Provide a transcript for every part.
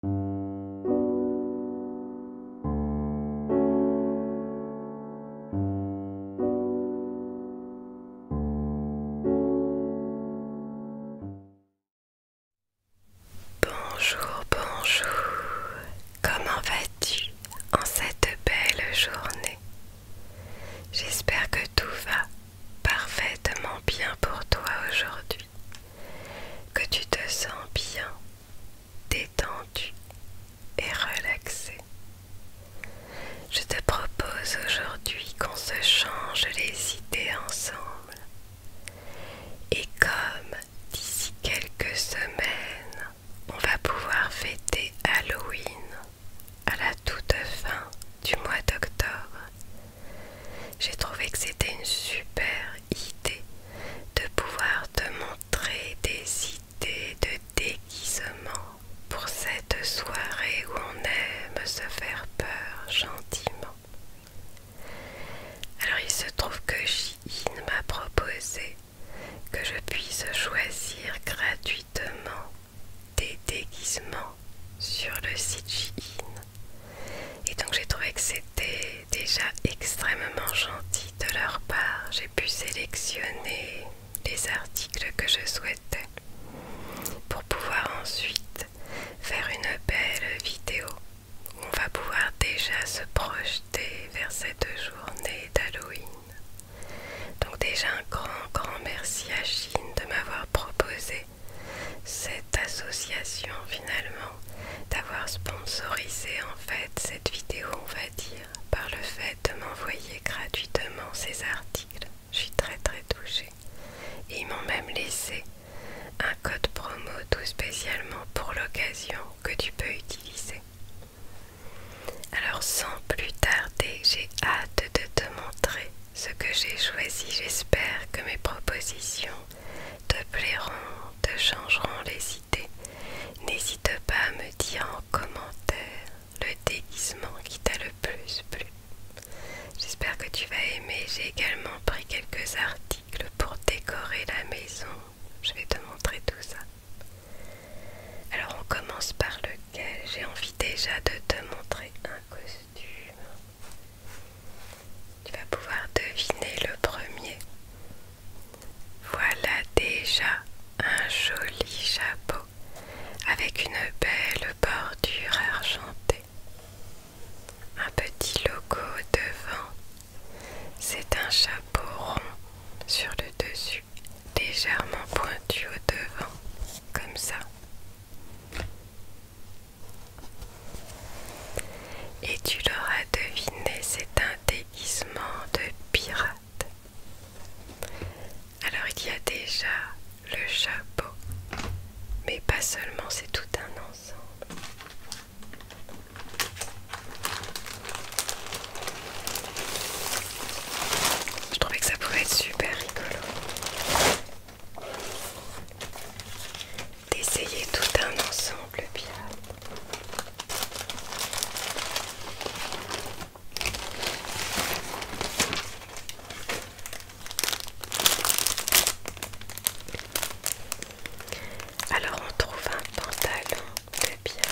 Bonjour, bonjour. Comment vas-tu en cette belle journée J'espère que tout va parfaitement bien pour toi aujourd'hui que tu te sens bien, détendu et relaxé. Je te propose aujourd'hui qu'on se change les idées ensemble. Et comme d'ici quelques semaines, on va pouvoir fêter Halloween à la toute fin du mois d'octobre, j'ai trouvé que c'était une super idée de pouvoir te montrer des idées de déguisement pour cette soirée où on aime se faire peur gentiment. Alors il se trouve que Shein m'a proposé que je puisse choisir gratuitement des déguisements sur le site Shein. Et donc j'ai trouvé que c'était déjà extrêmement gentil de leur part. J'ai pu sélectionner les articles que je souhaitais pour pouvoir ensuite faire une belle vidéo où on va pouvoir déjà se projeter vers cette journée d'Halloween. Donc déjà un grand, grand merci à Chine de m'avoir proposé cette association finalement d'avoir sponsorisé en fait cette vidéo on va dire par le fait de m'envoyer gratuitement ces articles. Je suis très très touchée. Et ils m'ont même laissé un code promo tout spécialement pour l'occasion que tu peux utiliser. Alors sans plus tarder, j'ai hâte de te montrer ce que j'ai choisi. J'espère que mes propositions te plairont te changeront les idées. N'hésite pas à me dire en commentaire le déguisement qui t'a le plus plu. J'espère que tu vas aimer. J'ai également pris quelques articles pour décorer la maison. Je vais te montrer tout ça. Alors on commence par lequel j'ai envie déjà de te montrer un costume. Tu vas pouvoir deviner le premier. Voilà déjà un joli chapeau avec une belle bordure argentée. Un petit logo devant. C'est un chapeau rond sur le dessus, légèrement pointu au devant, comme ça. Et tu l'auras deviné, c'est un déguisement de pirate. Alors il y a déjà le chapeau, mais pas seulement, c'est tout un ensemble. Je trouvais que ça pouvait être super rigolo d'essayer tout un ensemble bien. Euh, Alors on trouve un pantalon de bien.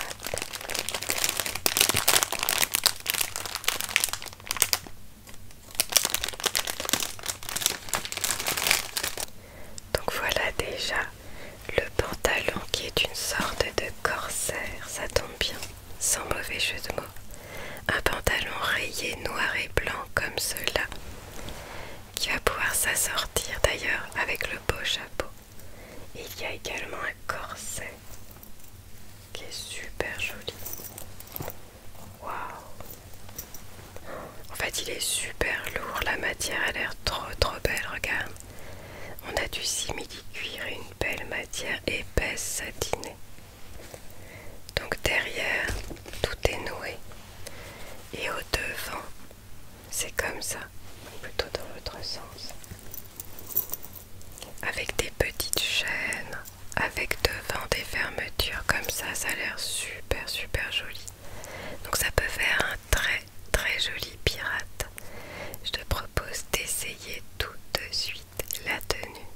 Donc voilà déjà le pantalon qui est une sorte de corsaire, ça tombe bien, sans mauvais jeu de mots. Un pantalon rayé noir et blanc comme cela, qui va pouvoir s'assortir d'ailleurs avec le beau chapeau. il y a également un corset qui est super joli. Waouh en fait, il est super lourd. La matière a l'air trop trop belle. Regarde. On a du simili-cuir et une belle matière épaisse satinée. Donc derrière, tout est noué. Et au devant, c'est comme ça. Plutôt dans l'autre sens. Avec des petites chaînes. Avec devant des fermetures comme ça. Ça a l'air super super joli. Donc ça peut faire un très très joli pirate. Je te propose d'essayer tout de suite la tenue.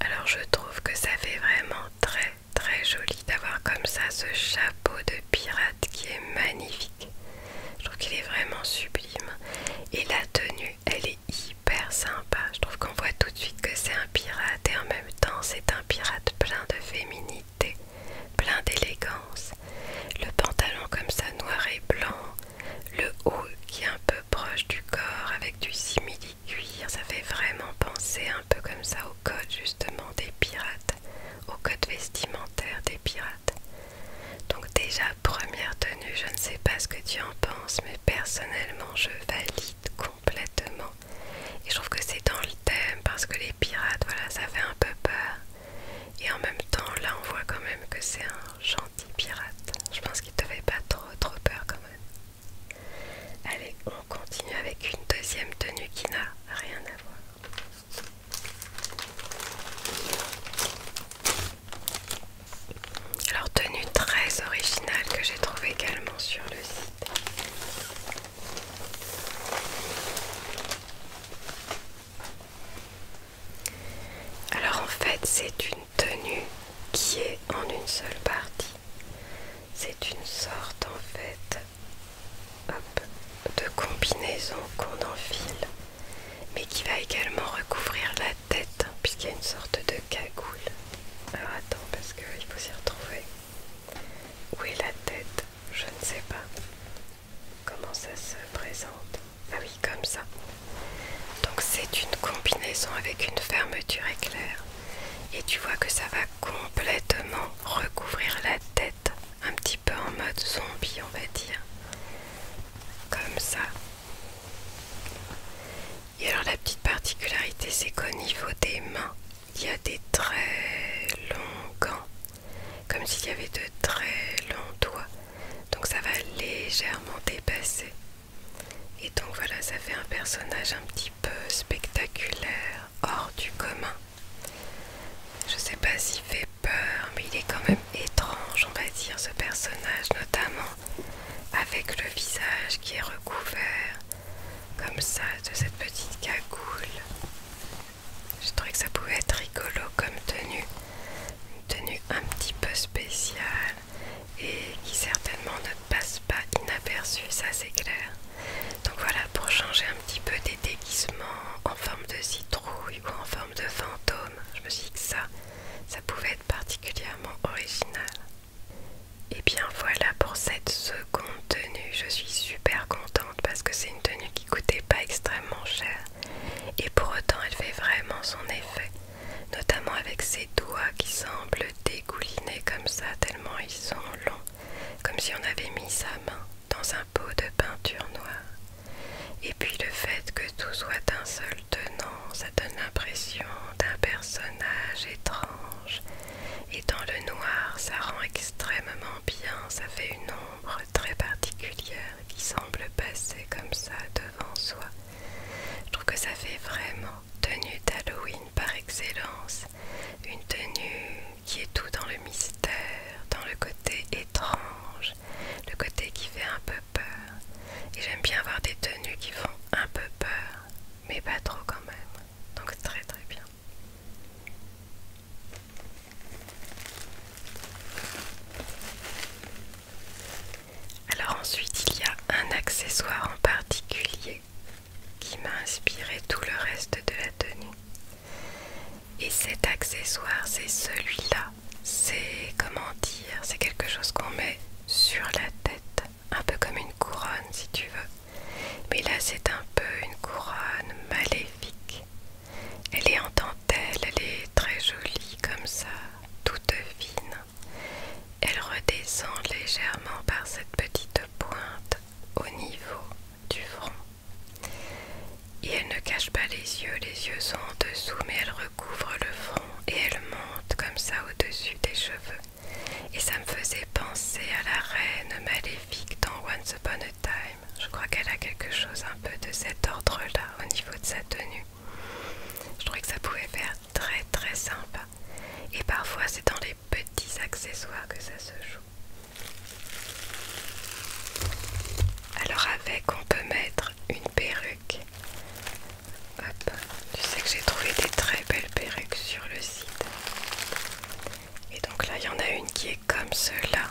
Alors je trouve que ça fait vraiment très très joli d'avoir comme ça ce chapeau de pirate qui est magnifique. Je trouve qu'il est vraiment sublime. Et la tenue, elle est hyper sympa. Je trouve qu'on voit tout de suite que c'est un pirate et en même temps c'est un pirate plein de féminité plein d'élégance, le pantalon comme ça noir et blanc, le haut qui est un peu proche du corps avec du simili-cuir, ça fait vraiment penser un peu comme ça au code justement des pirates, au code vestimentaire des pirates. Donc déjà première tenue, je ne sais pas ce que tu en penses, mais personnellement je valide complètement. Et je trouve que c'est dans le thème parce que les pirates, voilà, ça fait un peu peur. Et en même temps, là, on voit quand même que c'est un gentil pirate. Je pense qu'il devait pas trop, trop peur quand même. Allez, on continue avec une deuxième tenue qui n'a rien à voir. Alors tenue très originale que j'ai trouvé également sur le site. Alors en fait c'est une tenue qui est en une seule partie. C'est une sorte en fait de combinaison qu'on enfile mais qui va également recouvrir la tête puisqu'il y a une sorte de cagoule. Alors attends parce qu'il faut s'y retrouver. Où est la tête Je ne sais pas. Comment ça se présente Ah oui, comme ça. Donc c'est une combinaison avec une fermeture éclair. Et tu vois que ça va complètement recouvrir la tête. Un petit peu en mode zombie, on va dire. Comme ça. Et alors la petite particularité, c'est qu'au niveau des mains, il y a des très longs gants, comme s'il y avait de très longs doigts. Donc ça va légèrement dépasser. Et donc voilà, ça fait un personnage un petit peu spectaculaire, hors du commun. Je ne sais pas s'il fait peur, mais il est quand même étrange, on va dire, ce personnage, notamment avec le visage qui est recouvert comme ça de cette petite cagoule. Je trouvais que ça pouvait être rigolo comme tenue, une tenue un petit peu spéciale et qui certainement ne passe pas inaperçue, ça c'est clair. Donc voilà, pour changer un petit peu des déguisements en forme de citrouille ou en forme de fantôme, je me suis dit que ça, ça pouvait être particulièrement original. Et bien voilà pour cette seconde tenue. Je suis super contente parce que c'est une tenue qui coûtait pas extrêmement cher. Et pour autant elle fait vraiment son effet. Notamment avec ses doigts qui semblent dégouliner comme ça tellement ils sont longs. Comme si on avait mis sa main dans un pot de peinture noire. Et puis le fait que tout soit un seul tenant, ça donne l'impression d'un personnage étrange et dans le noir ça rend extrêmement bien, ça fait une ombre très particulière qui semble passer comme ça devant soi. Je trouve que ça fait vraiment tenue d'Halloween par excellence, une tenue qui est tout dans le mystère, dans le côté étrange, le côté qui fait un peu peur. Et j'aime bien avoir des tenues qui font un peu peur, mais pas trop quand même. Donc très très bien. Alors ensuite il y a un accessoire en particulier qui m'a inspiré tout le reste de la tenue. Et cet accessoire c'est celui-là. C'est comment dire, c'est quelque chose qu'on met sur la tête, un peu comme une couronne si tu veux. Mais là, c'est un peu une couronne maléfique. Elle est en dentelle, elle est très jolie comme ça, toute fine. Elle redescend légèrement par cette petite pointe au niveau du front. Et elle ne cache pas les yeux, les yeux sont en dessous, mais elle recouvre le front et elle monte comme ça au-dessus des cheveux et ça me faisait penser à la reine maléfique dans Once Upon a Time. Je crois qu'elle a quelque chose un peu de cet ordre-là au niveau de sa tenue. Je trouvais que ça pouvait faire très très sympa. Et parfois c'est dans les petits accessoires que ça se joue. Alors avec on peut mettre une perruque. Hop, tu sais que j'ai trouvé des très belles perruques sur le site. Et donc là, il y en a une qui est comme cela.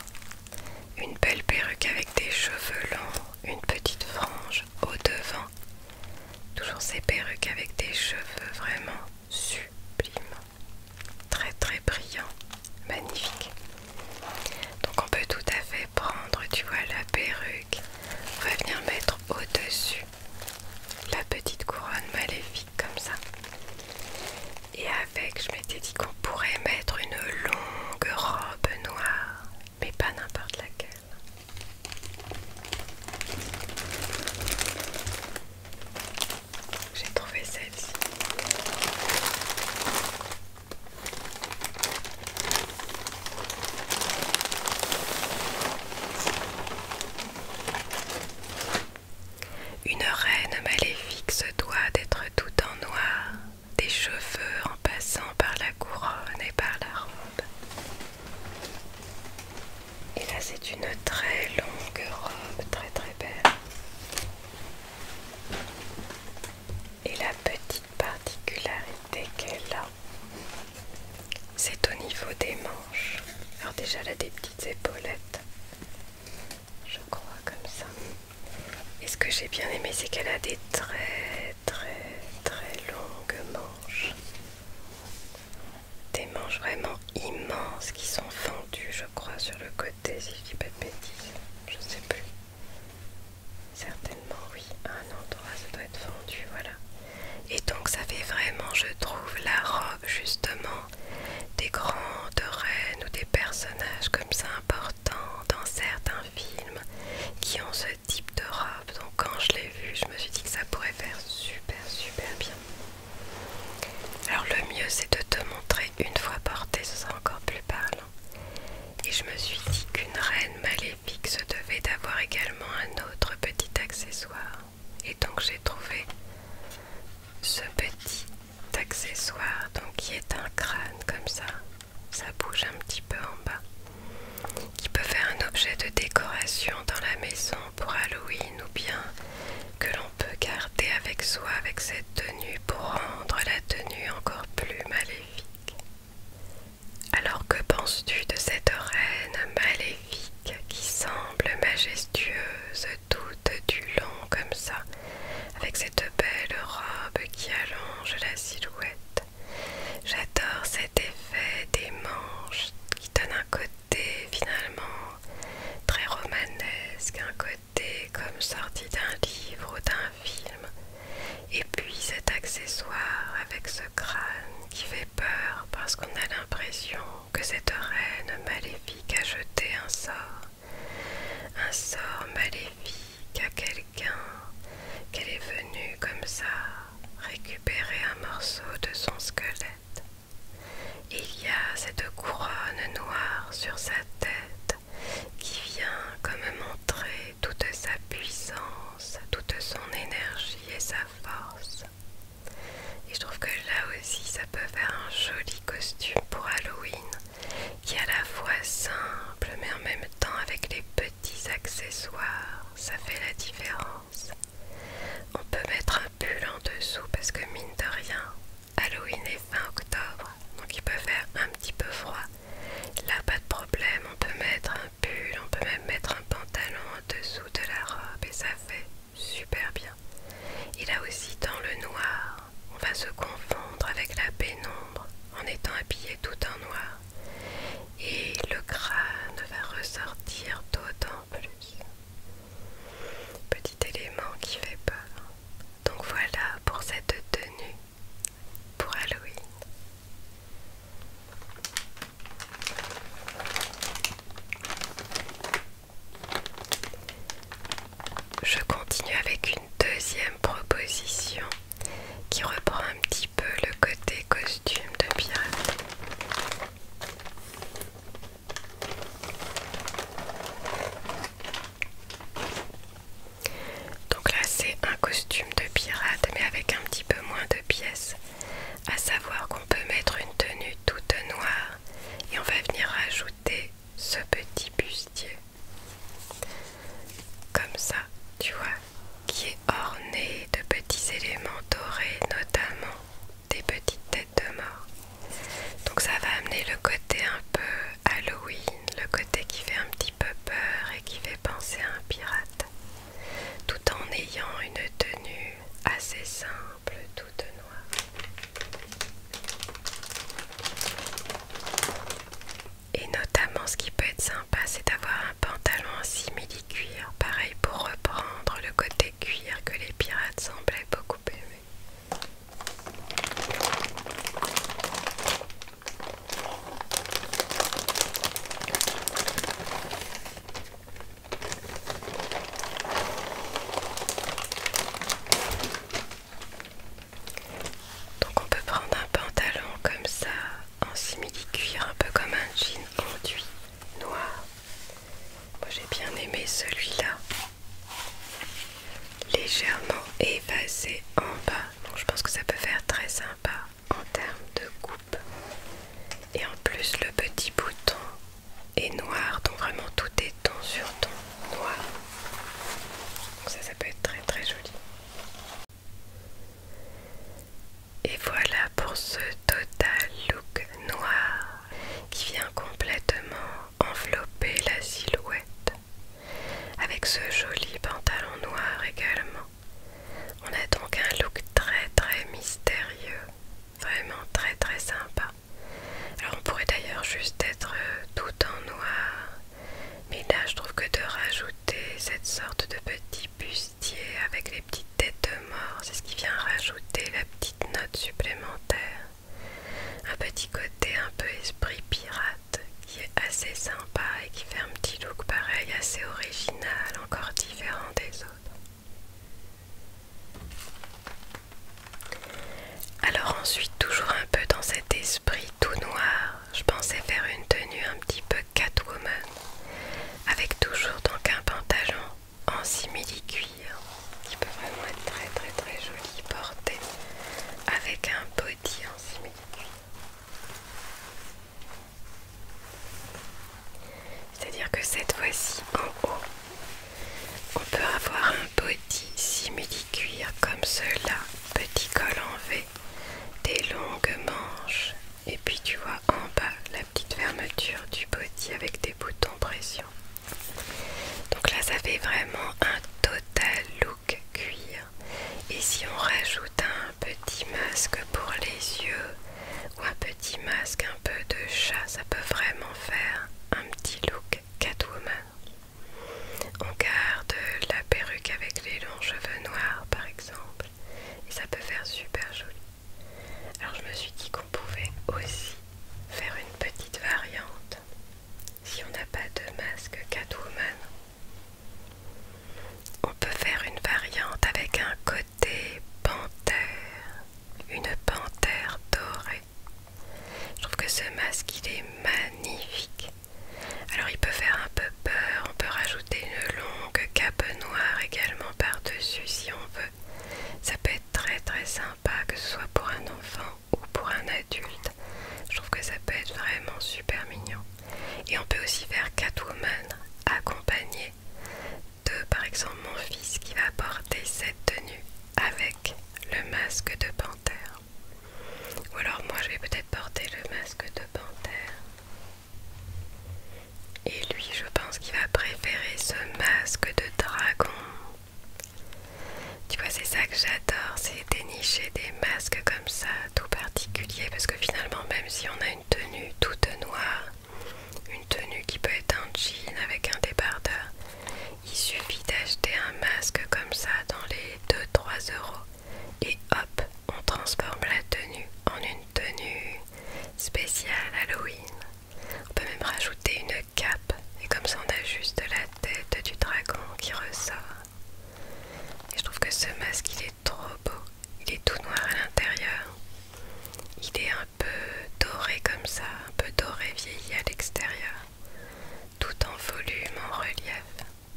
Une belle perruque avec des cheveux longs, une petite frange au devant. Toujours ces perruques avec des cheveux vraiment sublimes. Très très brillants, magnifiques. Donc on peut tout à fait prendre, tu vois, la perruque. On va venir mettre au-dessus la petite couronne maléfique comme ça. Et avec, je m'étais dit qu'on pourrait mettre une longue robe noire, mais pas n'importe laquelle. J'ai trouvé celle-ci. Une reine maléfique se doit d'être tout en noir, des cheveux en passant par la couronne et par la robe. Et là, c'est une très longue robe, très très belle. Et la petite particularité qu'elle a, c'est au niveau des manches. Alors déjà, elle a des petites épaulettes je crois comme ça. Et ce que j'ai bien aimé, c'est qu'elle a des très très très longues manches. Des manches vraiment immenses qui sont fendues, je crois, sur le côté, si je dis pas de bêtises. Je sais plus. Certainement, oui. À un endroit, ça doit être fendu, voilà. Et donc, ça fait vraiment, je trouve, la robe, justement, des grandes reines ou des personnages comme ça importants dans certains films qui ont ce type de robe. Donc quand je l'ai vu, je me suis dit que ça pourrait faire super super bien. Alors le mieux c'est de te montrer une fois porté, ce sera encore plus parlant. Et je me suis dit qu'une reine maléfique se devait d'avoir également un autre petit accessoire et donc j'ai trouvé ce petit accessoire donc qui est un crâne comme ça ça bouge un petit peu en bas qui peut faire un objet de décoration dans la maison pour Halloween ou bien que l'on peut garder avec soi avec cette tenue pour rendre la tenue encore plus maléfique alors que penses-tu de cette reine maléfique qui semble majestueuse toute du long comme ça, avec cette belle robe qui allonge la silhouette. J'adore cet effet des manches qui donne un côté finalement très romanesque, un côté comme sorti d'un livre ou d'un film. Et puis cet accessoire avec ce crâne qui fait peur parce qu'on a l'impression que cette reine maléfique a jeté un sort, un sort maléfique à quelqu'un, qu'elle est venue comme ça récupérer un morceau de son squelette. Il y a cette couronne noire sur sa tête qui vient comme montrer toute sa puissance, toute son énergie et sa force. Et je trouve que là aussi ça peut faire un joli costume pour Halloween qui est à la fois simple mais en même temps avec les petits accessoires, ça fait la différence. On peut mettre un pull en dessous parce que mine de rien, Halloween est fin octobre donc il peut faire un petit peu froid. Là pas de problème, on peut mettre un pull, on peut même mettre un pantalon en dessous de la robe et ça fait super bien. Et là aussi, dans le noir, on va se confondre avec la pénombre en étant habillé tout en noir. Et le crâne va ressortir d'autant plus. Petit élément qui fait peur. Donc voilà pour cette tenue pour Halloween. Je continue avec une deuxième proposition qui reprend un petit peu le côté costume de pirate. Donc là c'est un costume de pirate mais avec un petit peu moins de pièces, à savoir qu'on peut mettre une tenue toute noire et on va venir ajouter ce petit bustier comme ça tu vois qui est orné de petits éléments dorés notamment des petites têtes de mort donc ça va amener le côté un peu Halloween le côté qui fait un petit peu peur et qui fait penser à un pirate tout en ayant une tenue assez simple toute noire et notamment ce qui peut être sympa c'est d'avoir un pantalon en simili-cuir, pareil pour reprendre le côté cuir que les pirates semblaient beaucoup aimer. Donc on peut prendre un pantalon comme ça en simili-cuir, un peu comme un jean enduit noir. Moi j'ai bien aimé celui-là. Légèrement évasé en bas. Donc je pense que ça peut faire très sympa en termes de coupe. Et en plus le petit bouton et noir, donc vraiment tout est ton sur ton noir. Donc ça, ça peut être très très joli. Et voilà pour ce total look noir qui vient complètement envelopper la silhouette avec ce joli pantalon noir également. On a donc un look très très mystérieux, vraiment très très sympa. Alors on pourrait d'ailleurs juste être euh, tout en noir, mais là je trouve que de rajouter cette sorte de petit bustier avec les petites têtes de mort, c'est ce qui vient rajouter la petite note supplémentaire. Un petit côté un peu esprit pirate qui est assez sympa et qui fait un petit look pareil, assez original, encore différent des autres. Alors ensuite, toujours un peu dans cet esprit tout noir, je pensais faire une tenue un petit peu Catwoman, avec toujours donc un pantalon en simili-cuir, qui peut vraiment être très très très joli porté, avec un body en simili cest C'est-à-dire que cette fois-ci en haut, on peut avoir un body simili-cuir comme cela, petit col en V, des longues manches, et puis tu vois en bas la petite fermeture du body avec des boutons pression. Donc là, ça fait vraiment un total look cuir. Et si on rajoute un petit masque pour les yeux ou un petit masque un peu de chat, ça peut vraiment faire un petit look Catwoman. On garde la perruque avec les longs cheveux noirs par exemple, et ça peut faire super joli. Alors je me suis dit qu'on pouvait aussi faire une petite variante si on n'a pas de masque Catwoman. On peut faire une variante avec un côté panthère, une panthère dorée. Je trouve que ce masque il est magnifique. Alors il peut faire un peu peur, on peut rajouter une longue cape noire également par-dessus si on veut. Ça peut être très très sympa que ce soit pour un enfant ou pour un adulte. Je trouve que ça peut être vraiment super mignon. Et on peut aussi faire Catwoman accompagné de par exemple mon fils qui va porter cette tenue avec le masque de panthère. Ou alors moi je vais peut-être porter le masque de panthère. Et lui je pense qu'il va préférer ce masque de dragon. Tu vois c'est ça que j'adore, c'est dénicher des masques comme ça, tout particulier, parce que finalement même si on a une tenue toute noire, tenue qui peut être un jean avec un débardeur. Il suffit d'acheter un masque comme ça dans les 2-3 euros et hop, on transforme la tenue en une tenue spéciale Halloween. On peut même rajouter une cape et comme ça on a juste la tête du dragon qui ressort. Et je trouve que ce masque il est trop beau. Il est tout noir à l'intérieur. Il est un peu doré comme ça, un peu doré vieilli à l'extérieur, tout en volume, en relief.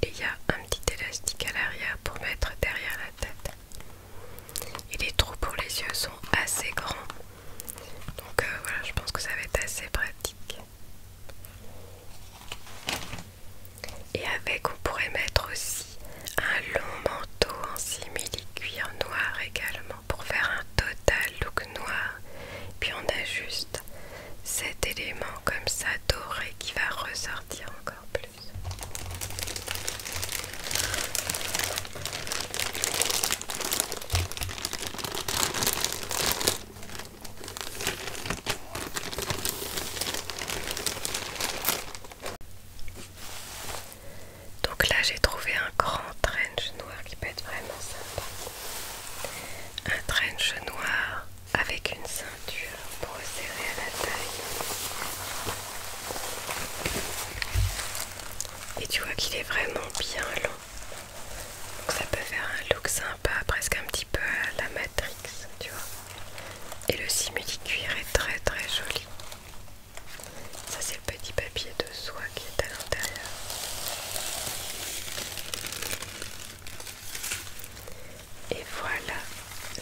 Et il y a un petit élastique à l'arrière pour mettre derrière la tête. Et les trous pour les yeux sont assez grands. Donc euh, voilà, je pense que ça va être assez pratique. Et avec, on pourrait mettre aussi un long manteau en simili-cuir noir également pour faire un total look noir. Puis on ajuste cet élément comme ça doré qui va ressortir encore plus. Donc là j'ai trouvé un grand trench noir qui peut être vraiment sympa. Un trench noir avec une ceinture pour serrer à la taille. Et tu vois qu'il est vraiment bien long. Donc ça peut faire un look sympa, presque un petit peu à la Matrix, tu vois. Et le simili-cuir est très très joli. Ça c'est le petit papier de soie qui est à l'intérieur. Et voilà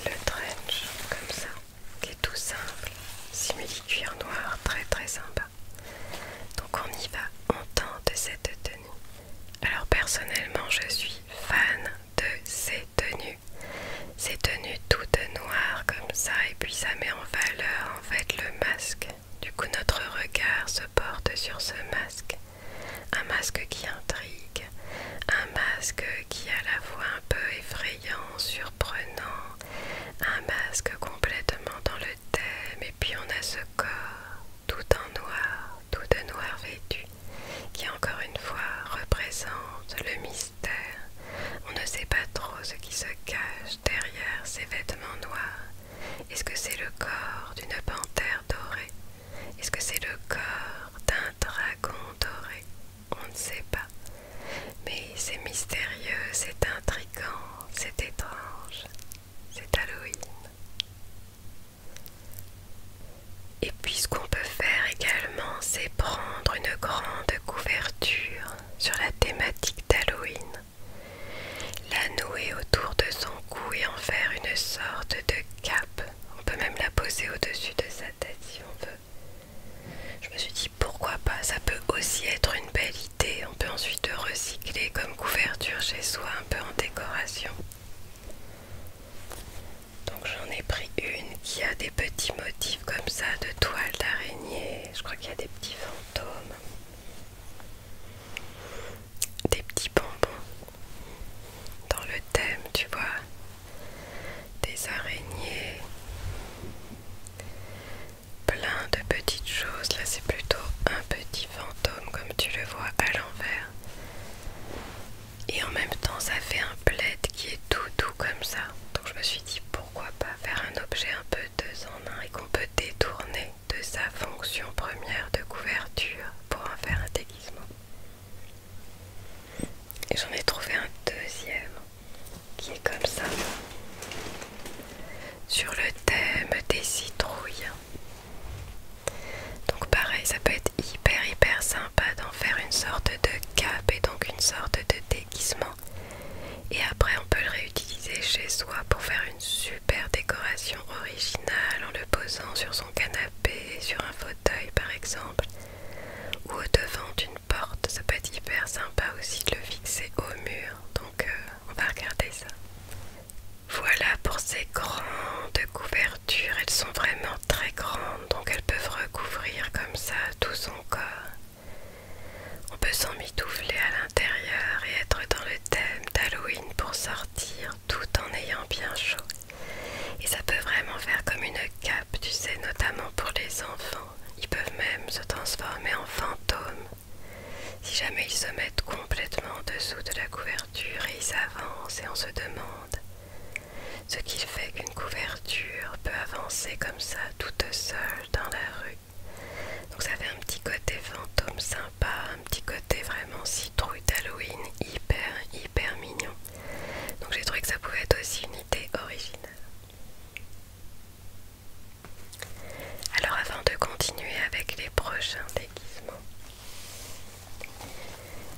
le trench comme ça, qui est tout simple, simili cuir noir, très très sympa. Donc on y va, on tente cette tenue. Alors personnellement je suis fan de ces tenues. Ces tenues toutes noires comme ça et puis ça met en valeur en fait le masque du coup, notre regard se porte sur ce masque. Un masque qui intrigue, un masque qui a la voix un peu effrayant, surprenant, un masque complètement dans le thème. Et puis on a ce corps tout en noir, tout de noir vêtu, qui encore une fois représente le mystère. On ne sait pas trop ce qui se cache derrière ces vêtements noirs. Est-ce que c'est le corps d'une panthère dorée Est-ce que c'est le corps d'un dragon doré On ne sait pas. Mais c'est mystérieux, c'est intrigant, c'est étrange. C'est Halloween. Et puis ce qu'on peut faire également, c'est prendre une grande couverture sur la thématique d'Halloween la nouer autour de son cou et en faire une sorte de cape. On peut même la poser au-dessus de sa tête si on veut. Je me suis dit pourquoi pas, ça peut aussi être une belle idée. On peut ensuite recycler comme couverture chez soi, un peu en décoration. Donc j'en ai pris une qui a des petits motifs comme ça de toile d'araignée. Je crois qu'il y a des petits fantômes des petits bonbons dans le thème, tu vois, des araignées, plein de petites choses. Là, c'est plutôt un petit fantôme, comme tu le vois à l'envers. Et en même temps, ça fait un plaid qui est tout doux comme ça. Donc, je me suis dit pourquoi pas faire un objet un peu deux en un et qu'on peut détourner de sa fonction première de couverture pour en faire un déguisement. Et j'en ai trouvé un deuxième qui est comme ça, sur le thème des citrouilles. Donc pareil, ça peut être hyper hyper sympa d'en faire une sorte de cap et donc une sorte de déguisement et après on peut le réutiliser chez soi pour faire une super décoration originale en le posant sur son canapé, sur un fauteuil par exemple, ou au devant d'une porte. Ça peut être hyper sympa aussi de le fixer au mur. Donc euh, on va regarder ça. Voilà pour ces grandes couvertures. Elles sont vraiment très grandes, donc elles peuvent recouvrir comme ça tout son corps. On peut s'en s'emmitoufler à l'intérieur et être dans le thème d'Halloween pour sortir tout en ayant bien chaud. Et ça peut vraiment faire comme une cape, tu sais, notamment pour les enfants. Ils peuvent même se transformer en fantômes. Si jamais ils se mettent complètement en dessous de la couverture et ils avancent et on se demande. Ce qu'il fait qu'une couverture peut avancer comme ça toute seule dans la rue. Donc ça fait un petit côté fantôme sympa, un petit côté vraiment citrouille d'Halloween, hyper hyper mignon. Donc j'ai trouvé que ça pouvait être aussi une idée originale. Alors avant de continuer avec les prochains déguisements,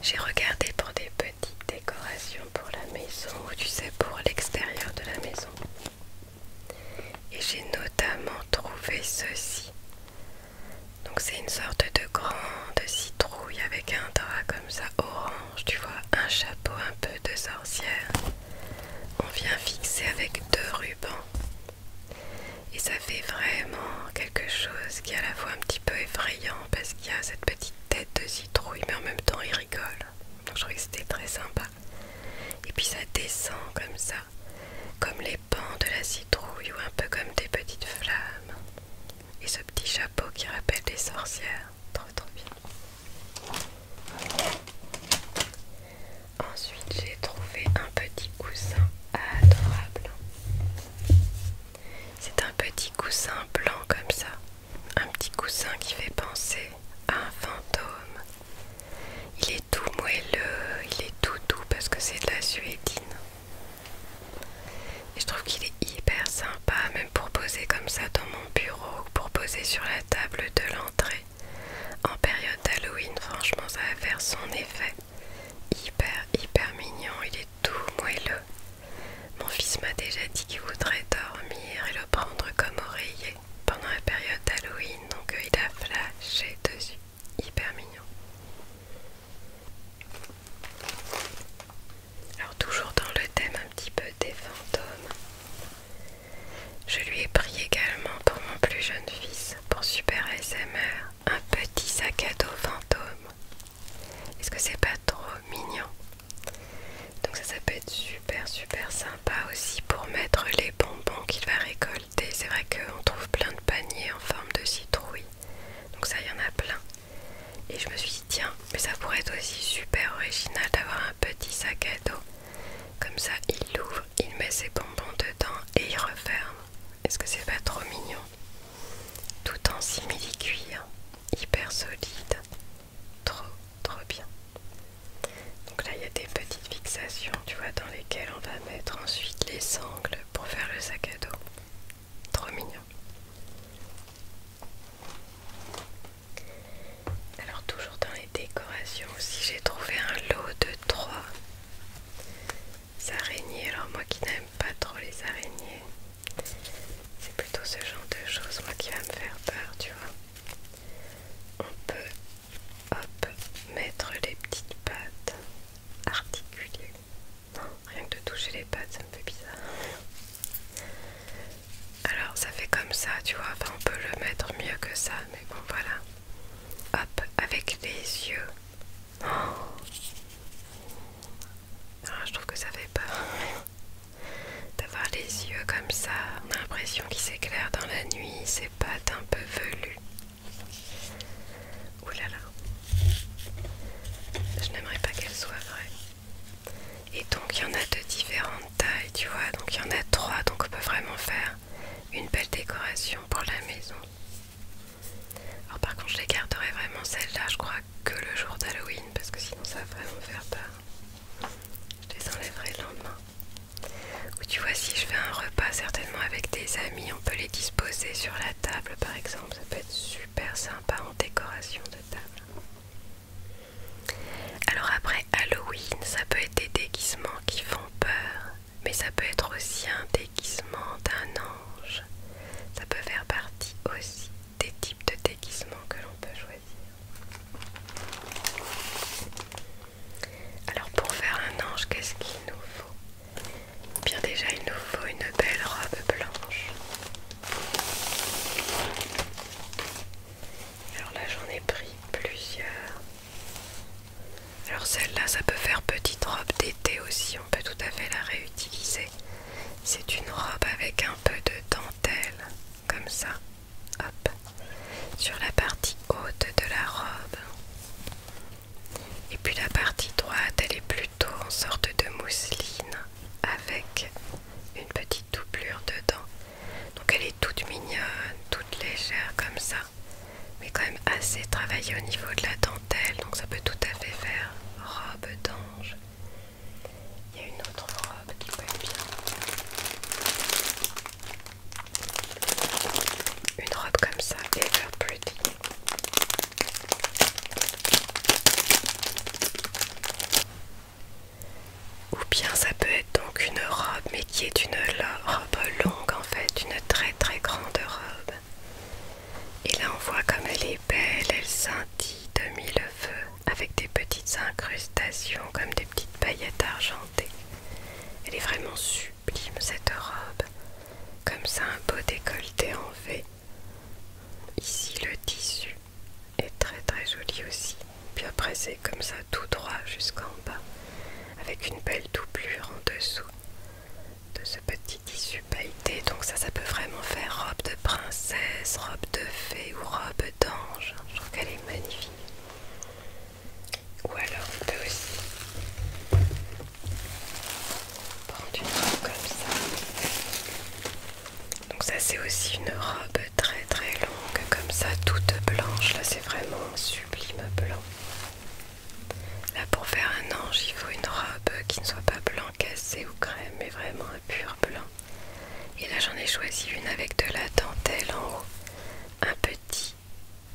j'ai regardé pour des petites décorations pour la maison ou tu sais pour l'extérieur de la maison. Et j'ai notamment trouvé ceci. Donc c'est une sorte de grande citrouille avec un drap comme ça orange, tu vois, un chapeau un peu de sorcière. On vient fixer avec deux rubans. Et ça fait vraiment quelque chose qui est à la fois un petit peu effrayant parce qu'il y a cette petite tête de citrouille mais en même temps il rigole. Donc je trouvais que c'était très sympa. Et puis ça descend comme ça, comme les pans de la citrouille ou un peu comme des petites flammes. Et ce petit chapeau qui rappelle des sorcières. Trop trop bien. Ensuite j'ai trouvé un petit coussin adorable. C'est un petit coussin blanc comme ça. Un petit coussin qui fait penser à un fantôme il est tout moelleux, il est tout doux parce que c'est de la suédine. Et je trouve qu'il est hyper sympa, même pour poser comme ça dans mon bureau pour poser sur la table de l'entrée. En période d'Halloween, franchement, ça va faire son effet. Hyper, hyper mignon, il est tout moelleux. Mon fils m'a déjà dit qu'il voudrait dormir et le prendre comme oreiller pendant la période d'Halloween, donc euh, il a flashé dessus, hyper mignon. Alors toujours dans le thème un petit peu des fantômes, je lui ai pris également pour mon plus jeune fils, pour Super SMR un petit sac à dos fantôme. Est-ce que c'est pas trop mignon donc ça, ça peut être super super sympa aussi pour mettre les bonbons qu'il va récolter c'est vrai qu'on trouve plein de paniers en forme de citrouille. Donc ça, y en a plein. Et je me suis dit, tiens, mais ça pourrait être aussi super original d'avoir un petit sac à dos. Comme ça, il l'ouvre, il met ses bonbons dedans et il referme. Est-ce que c'est pas trop mignon Tout en simili-cuir, hyper solide. Trop, trop bien. Donc là, il y a des petites fixations, tu vois, dans lesquelles on va mettre ensuite les sangles pour faire le sac à dos. Trop mignon. Alors toujours dans les décorations aussi, j'ai trouvé un lot de trois araignées. Alors moi qui n'aime pas trop les araignées, c'est plutôt ce genre de choses moi qui va me faire peur, tu vois. On peut Hop, mettre les petites pattes, articulées rien que de toucher les pattes, ça me fait bizarre. Alors ça fait comme ça, tu vois. Enfin, on peut le mettre mieux que ça, mais bon, voilà. Hop, avec les yeux. Oh. Alors, ah, je trouve que ça fait peur d'avoir les yeux comme ça. On a l'impression qu'ils s'éclairent dans la nuit pâte un peu velu Ouh là là, je n'aimerais pas qu'elle soit vraie. Et donc il y en a de différentes tailles, tu vois. Donc il y en a trois, donc on peut vraiment faire une belle décoration pour la maison. Alors par contre, je les garderai vraiment celles là je crois que le jour d'Halloween, parce que sinon ça va vraiment faire peur. Je les enlèverai le lendemain. Ou tu vois, si je fais un repas certainement avec des amis, on peut les disposer sur la table par exemple. Ça peut être super sympa en décoration de table. Alors après Halloween, ça peut être des déguisements qui font peur, mais ça peut être aussi un déguisement d'un ange. Ça peut faire partie aussi des types de déguisements que l'on peut choisir. Alors pour faire un ange, qu'est-ce qu'il nous faut Bien déjà, il nous faut une belle robe blanche. Alors là, j'en ai pris plusieurs. Alors celle-là, ça peut faire petite robe d'été aussi, on peut tout à fait la réutiliser. C'est une robe avec un peu de dentelle, comme ça sur la partie haute de la robe. Et puis la partie droite, elle est plutôt en sorte de mousseline avec une petite doublure dedans. Donc elle est toute mignonne, toute légère comme ça, mais quand même assez travaillée au niveau de la dentelle, donc ça peut tout à fait faire robe d'ange. Il y a une autre robe qui être bien. Une robe comme ça, ever pretty. Ou bien ça peut être donc une robe, mais qui est une robe longue en fait, une très très grande robe. Et là on voit comme elle est belle, elle scintille de mille feux avec des petites incrustations comme des petites paillettes argentées. Elle est vraiment super cette robe, comme ça un beau décolleté en V. Ici le tissu est très très joli aussi, puis après c'est comme ça tout droit jusqu'en bas, avec une belle doublure en dessous de ce petit tissu pailleté. Donc ça, ça peut vraiment faire robe de princesse, robe de fée ou robe d'ange. Je trouve qu'elle est magnifique. Ou alors on peut aussi prendre une robe comme ça. Donc ça c'est aussi une robe très très longue comme ça, toute blanche. Là c'est vraiment un sublime blanc. Là pour faire un ange il faut une robe qui ne soit pas blanc cassé ou crème mais vraiment un pur blanc. Et là j'en ai choisi une avec de la dentelle en haut, un petit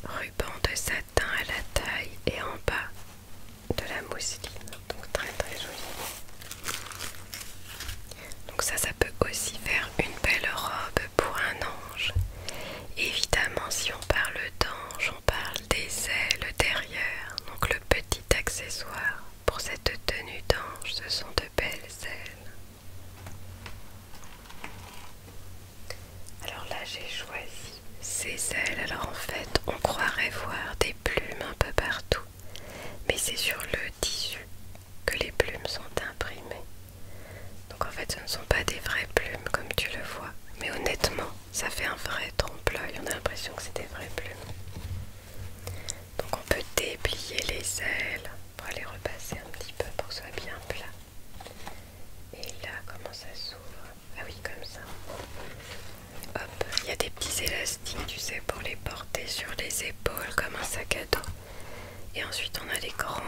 ruban de satin à la taille et en bas de la mousseline, donc très très joli. Donc ça, ça peut aussi faire une belle robe pour un ange. Évidemment, si on parle d'ange, on parle des ailes derrière, donc le petit accessoire pour cette tenue d'ange, ce sont de belles ailes. Alors là j'ai choisi ces ailes. Alors en fait on croirait voir des plumes un peu partout. Mais c'est sur le tissu que les plumes sont imprimées. Donc en fait ce ne sont pas des vraies plumes comme tu le vois. Mais honnêtement ça fait un vrai trompe-l'œil. On a l'impression que c'est des vraies plumes. Donc on peut déplier les ailes pour les repasser un petit peu pour que ce soit bien plat. Et là, comment ça s'ouvre Ah oui, comme ça. Hop, il y a des petits élastiques, tu sais, pour les porter sur les épaules comme un sac à dos. Et ensuite, on a les grandes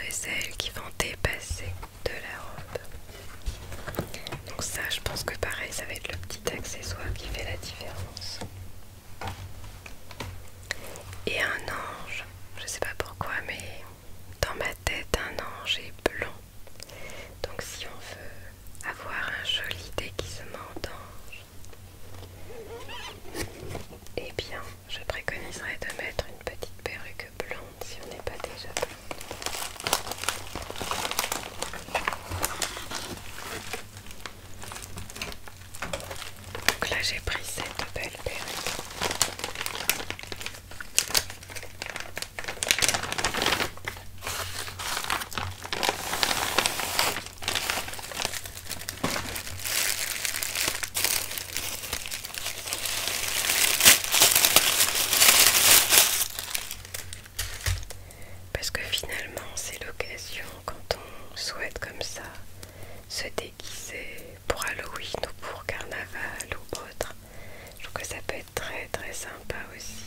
ailes qui vont dépasser de la robe. Donc ça, je pense que pareil, ça va être le petit accessoire qui fait la différence. Et un ange, je sais pas pourquoi, mais dans ma tête un ange est blanc, Donc si on veut avoir un joli déguisement d'ange, eh bien je préconiserais de mettre une petite perruque blonde si on n'est pas déjà blonde. Donc là j'ai pris cette belle période Parce que finalement, c'est l'occasion quand on souhaite comme ça se déguiser pour Halloween ou pour carnaval ou autre. Je trouve que ça peut être très très sympa aussi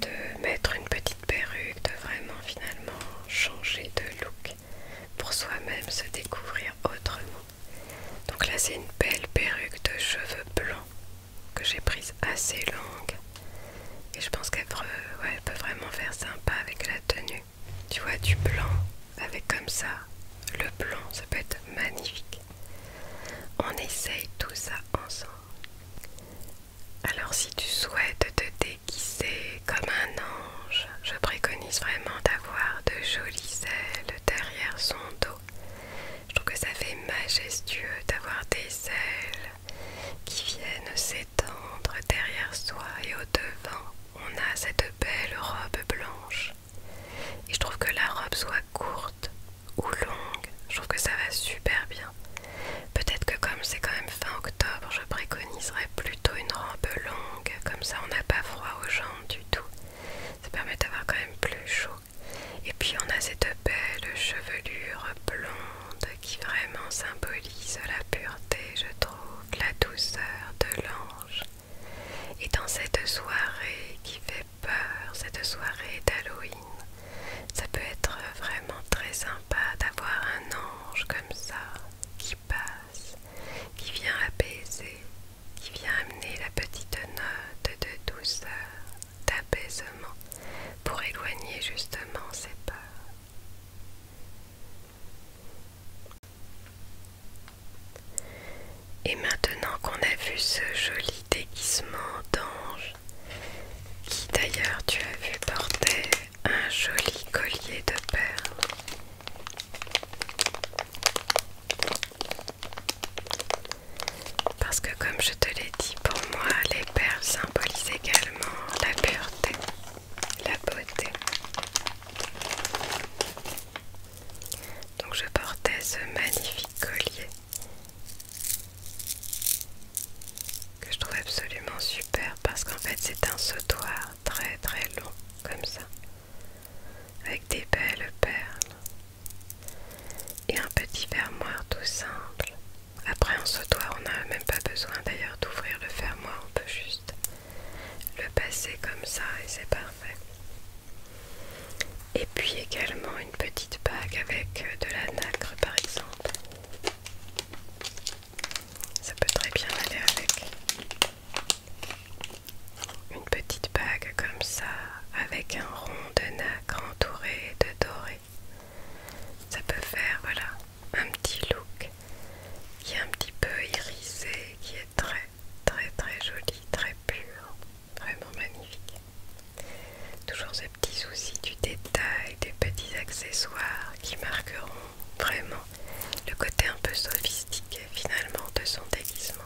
de mettre une petite perruque, de vraiment finalement changer de look pour soi-même se découvrir autrement. Donc là c'est une belle perruque de cheveux blancs que j'ai prise assez longue et je pense qu'elle peut, vraiment faire sympa avec la tenue. Tu vois, du blanc avec comme ça. Le blanc, ça peut être magnifique. On essaye tout ça ensemble. Alors si tu souhaites te déguiser comme un ange, je préconise vraiment d'avoir de jolies ailes derrière son dos. Je trouve que ça fait majestueux d'avoir des ailes qui viennent s'étendre derrière soi et au devant. On a cette belle robe blanche et je trouve que la robe soit courte ou longue, je trouve que ça va super bien. Peut-être que comme c'est quand même fin octobre, je préconiserais plutôt une robe longue, comme ça on n'a pas froid aux jambes du tout. Ça permet d'avoir quand même plus chaud. Et puis on a cette belle chevelure blonde qui vraiment symbolise la pureté, je trouve, la douceur de l'ange. Et dans cette soirée qui fait peur, cette soirée d'Halloween, ça peut être vraiment très sympa d'avoir un ange comme ça qui passe, qui vient apaiser, qui vient amener la petite note de douceur, d'apaisement, pour éloigner justement ses peurs. Et maintenant qu'on a vu ce joli déguisement d'ange, qui d'ailleurs tu as vu porter un joli collier de perles, parce que comme je te l'ai dit, pour moi les perles symbolisent également la pureté, la beauté. Donc je portais ce magnifique collier que je trouve absolument super parce qu'en fait c'est un sautoir très très long comme ça avec des belles perles et un petit fermoir tout simple. Après un sautoir on n'a même pas besoin d'ailleurs d'ouvrir le fermoir, on peut juste le passer comme ça et c'est parfait. Et puis également une petite bague avec euh, de la nacre par exemple. Ça peut très bien aller avec. Une petite bague comme ça avec un rond de nacre entouré de doré. Ça peut faire voilà un petit look qui est un petit peu irisé, qui est très Très très joli, très pur, vraiment magnifique. Toujours ce petit souci du détail, des petits accessoires qui marqueront vraiment le côté un peu sophistiqué finalement de son déguisement.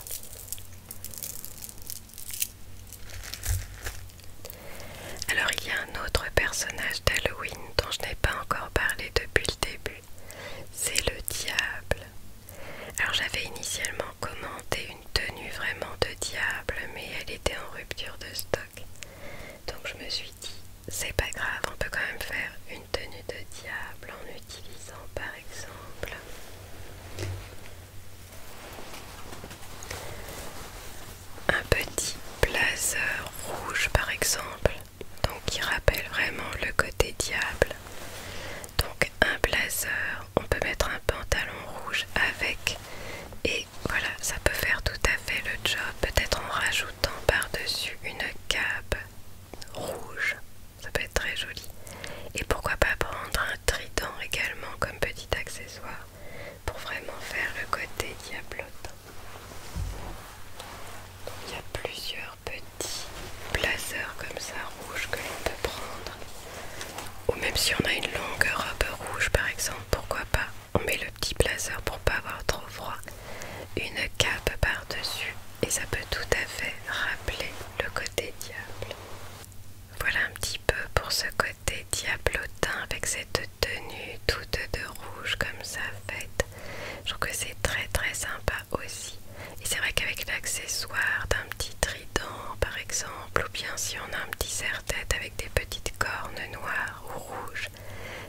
Alors il y a un autre personnage d'Halloween dont je n'ai pas encore parlé depuis le début. C'est le diable. Alors j'avais initialement commandé une tenue vraiment de diable, mais elle était en rupture de stock. Donc je me suis dit, c'est pas grave, on peut quand même faire une tenue de diable en utilisant par exemple un petit blazer rouge par exemple donc qui rappelle vraiment le côté diable. Donc un blazer, on peut mettre un pantalon rouge avec et voilà, ça peut faire tout à fait le job, peut-être en rajoutant par-dessus une cape rouge, ça peut être très joli. Et pourquoi pas prendre un trident également comme petit accessoire pour vraiment faire le côté Diablote Donc, il y a plusieurs petit blazer comme ça rouge que l'on peut prendre ou même si on a une longue robe rouge par exemple pourquoi pas on met le petit blazer pour pas avoir trop froid une cape par dessus et ça peut tout à fait rappeler le côté diable voilà un petit peu pour ce côté diablotin avec cette tenue toute de rouge comme ça faite je trouve que c'est très très sympa aussi. Et c'est vrai qu'avec l'accessoire d'un petit trident par exemple, ou bien si on a un petit serre-tête avec des petites cornes noires ou rouges,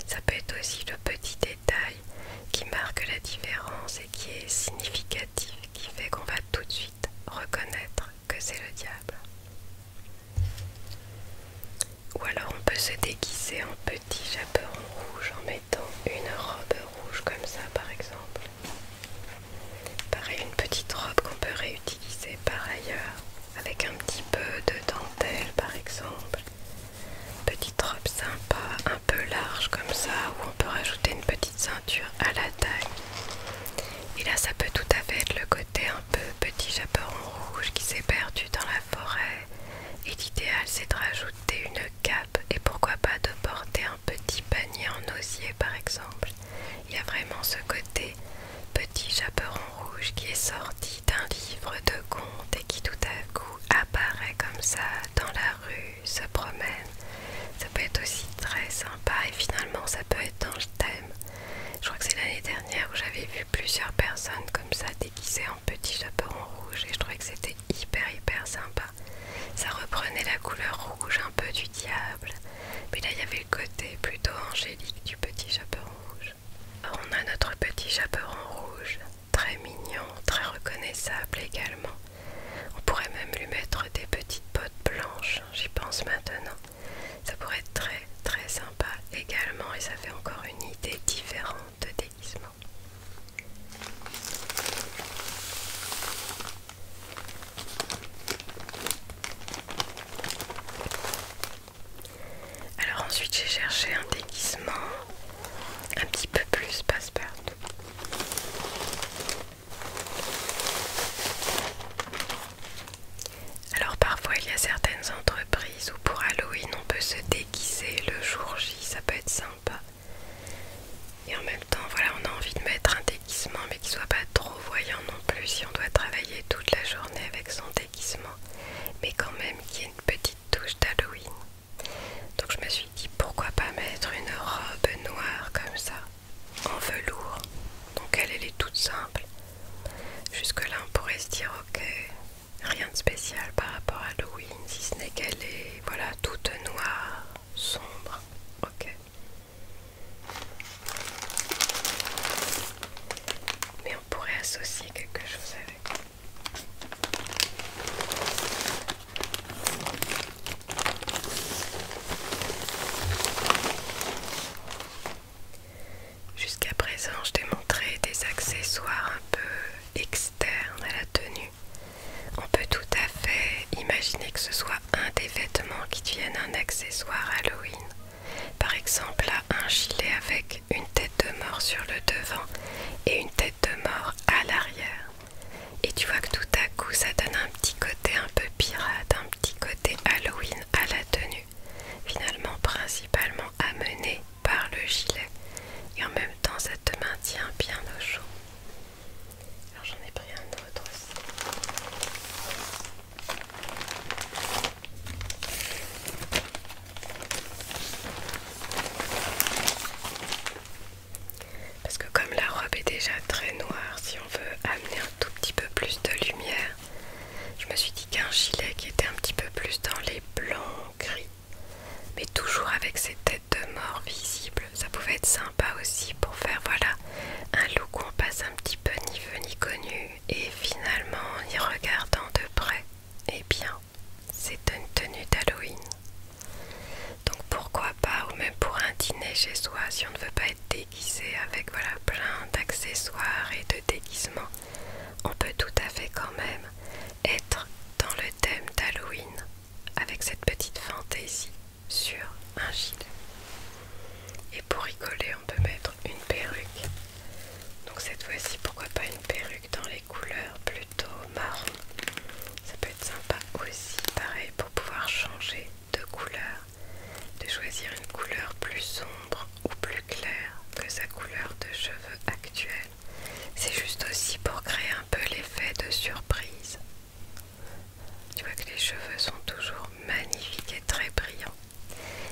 ça peut être aussi le petit détail qui marque la différence et qui est significatif, qui fait qu'on va tout de suite reconnaître que c'est le diable. Ou alors on peut se déguiser en petit chaperon rouge en une robe rouge comme ça par exemple. Pareil, une petite robe qu'on peut réutiliser par ailleurs avec un petit peu de dentelle par exemple. Petite robe sympa, un peu large comme ça, où on peut rajouter une petite ceinture à la taille. Et là, ça peut tout à fait être le côté un peu petit chaperon rouge qui s'est perdu dans la forêt. Et l'idéal, c'est de rajouter une cape et pourquoi pas de porter un petit panier en osier par exemple. Il y a vraiment ce côté petit chaperon rouge qui est sorti d'un livre de contes et qui tout à coup apparaît comme ça dans la rue, se promène. Ça peut être aussi très sympa et finalement ça peut être dans le thème. Je crois que c'est l'année dernière où j'avais vu plusieurs personnes comme ça déguisées en petit chaperon rouge et je trouvais que c'était hyper hyper sympa ça reprenait la couleur rouge un peu du diable, mais là il y avait le côté plutôt angélique du petit chaperon rouge. on a notre petit chaperon rouge, très mignon, très reconnaissable également. On pourrait même lui mettre des petites bottes blanches, j'y pense maintenant. Ça pourrait être très très sympa également et ça fait encore une idée différente de déguisement. Alors ensuite j'ai cherché un déguisement un petit peu plus passe-partout. Alors parfois il y a certaines entreprises où pour Halloween on peut se déguiser le jour J, ça peut être sympa. Et en même temps, voilà, on a envie de mettre un déguisement, mais qui soit pas trop voyant non plus. Si on doit travailler toute la journée avec son déguisement, mais quand même qu'il y ait une petite touche d'Halloween. Donc je me suis dit pourquoi pas mettre une robe noire comme ça, en velours. Donc elle, est toute simple. Jusque là, on pourrait se dire ok, rien de spécial par rapport à Halloween, si ce n'est qu'elle est voilà toute noire sombre. Ok. Mais on pourrait associer quelque chose avec. Jusqu'à présent, je t'ai montré des accessoires un peu externes à la tenue. On peut tout à fait imaginer que ce soit un des vêtements qui deviennent un accessoire Halloween. Par exemple, là, un gilet avec une tête de mort sur le devant et une tête de mort à l'arrière. Et tu vois que tout à coup, ça donne un petit côté un peu pirate, un petit côté Halloween à la tenue. Finalement, principalement amené par le gilet. Et en même temps, ça te maintient bien au chaud. Alors j'en ai pris un autre aussi. Parce que comme la robe est déjà très noire, si on veut amener un tout petit peu plus de lumière, je me suis dit qu'un gilet qui était un petit peu plus dans les blancs, gris, mais toujours avec cette têtes de mort visibles, ça pouvait être sympa aussi pour faire voilà un look qu'on passe un petit peu ni vu ni connu. Et finalement, en y regardant de près, et eh bien, c'est une tenue d'Halloween. Donc pourquoi pas, ou même pour un dîner chez soi, si on ne veut pas être déguisé avec voilà plein d'accessoires et de déguisements, on peut tout à fait quand même être dans le thème d'Halloween avec cette petite fantaisie sur un gilet. Et pour y coller, on peut mettre une perruque. Donc cette fois-ci, pourquoi pas une perruque dans les couleurs plutôt marron. Ça peut être sympa aussi, pareil, pour pouvoir changer de couleur, de choisir une couleur plus sombre ou plus claire que sa couleur de cheveux actuelle. C'est juste aussi pour créer un peu l'effet de surprise. Tu vois que les cheveux sont toujours magnifiques et très brillants.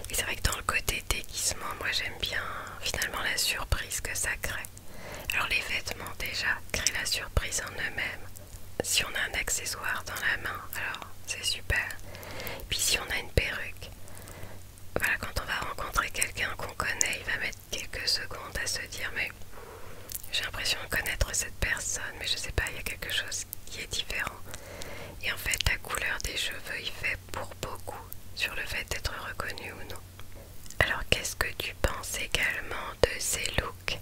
Et c'est vrai que dans le côté déguisement, moi j'aime bien finalement la surprise que ça crée. Alors les vêtements déjà créent la surprise en eux-mêmes. Si on a un accessoire dans la main, alors c'est super. Puis si on a une perruque, voilà quand on va rencontrer quelqu'un qu'on connaît, il va mettre quelques secondes à se dire mais j'ai l'impression de connaître cette personne mais je sais pas il y a quelque chose qui est différent et en fait la couleur des cheveux y fait pour beaucoup sur le fait d'être reconnu ou non. Alors qu'est-ce que tu penses également de ces looks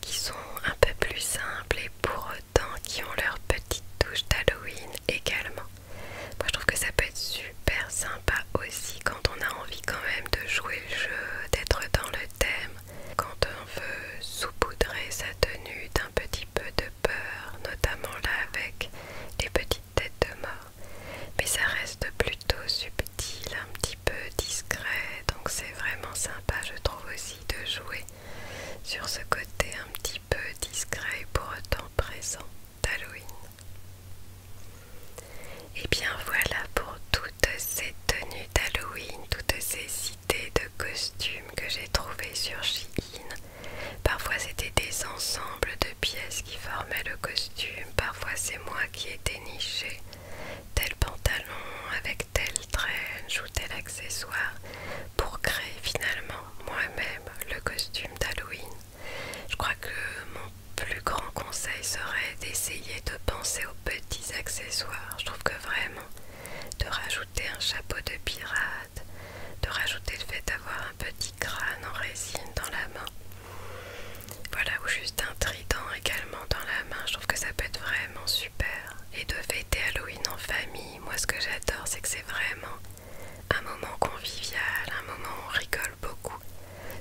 qui sont un peu plus simples et pour autant qui ont leur petite touche d'Halloween également Moi je trouve que ça peut être super simple pas aussi quand on a envie quand même de jouer le jeu, d'être dans le thème, quand on veut saupoudrer sa tenue d'un petit peu de peur, notamment là avec les petites têtes de mort. Mais ça reste plutôt subtil, un petit peu discret, donc c'est vraiment sympa je trouve aussi de jouer sur ce côté un petit peu discret et pour autant présent d'Halloween. Et eh bien voilà pour toutes ces tenues d'Halloween, toutes ces idées de costumes que j'ai trouvées sur Shein. Parfois c'était des ensembles de pièces qui formaient le costume, parfois c'est moi qui ai déniché tel pantalon avec tel trench ou tel accessoire pour créer finalement moi-même le costume d'Halloween. Je crois que mon plus grand conseil serait d'essayer de penser aux petits accessoires. Je trouve que vraiment, de rajouter un chapeau de pirate, de rajouter le fait d'avoir un petit crâne en résine dans la main, voilà, ou juste un trident également dans la main, je trouve que ça peut être vraiment super. Et de fêter Halloween en famille, moi ce que j'adore, c'est que c'est vraiment un moment convivial, un moment où on rigole, beaucoup.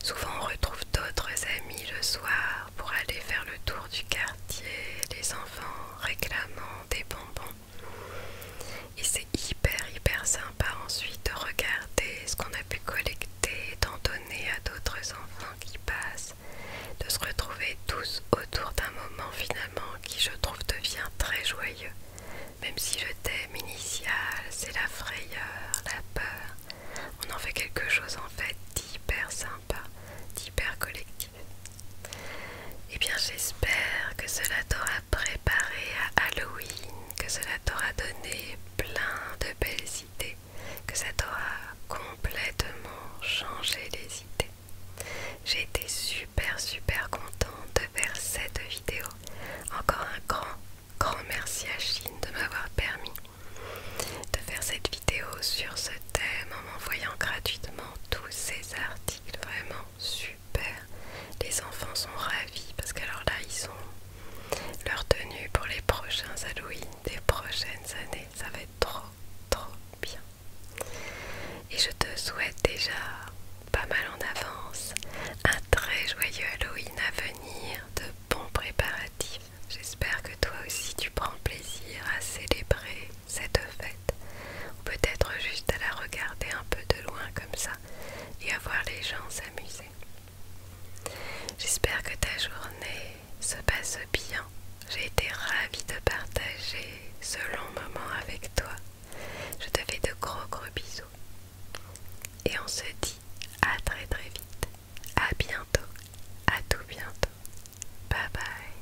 Souvent on retrouve d'autres amis le soir pour aller faire le tour du quartier, les enfants réclamant des bonbons. Et c'est hyper hyper sympa ensuite de regarder ce qu'on a pu collecter, d'en donner à d'autres enfants qui passent, de se retrouver tous autour d'un moment finalement qui je trouve devient très joyeux. Même si le thème initial c'est la frayeur, la peur, on en fait quelque chose en fait d'hyper sympa, d'hyper collectif. Et eh bien j'espère que cela t'aura préparé à Halloween, que cela t'aura donné plein de belles idées, que ça t'aura complètement changé les idées. J'ai été super super contente de faire cette vidéo. Encore un grand Grand merci à Chine de m'avoir permis de faire cette vidéo sur ce thème en m'envoyant gratuitement tous ces articles. Vraiment super. Les enfants sont ravis parce qu'alors là, ils ont leur tenue pour les prochains Halloween des prochaines années. Ça va être trop, trop bien. Et je te souhaite déjà pas mal en avance un très joyeux Halloween à venir, de bons préparatifs J'espère que toi aussi tu prends plaisir à célébrer cette fête. Ou peut-être juste à la regarder un peu de loin comme ça et à voir les gens s'amuser. J'espère que ta journée se passe bien. J'ai été ravie de partager ce long moment avec toi. Je te fais de gros gros bisous. Et on se dit à très très vite. À bientôt à tout bientôt. Bye bye.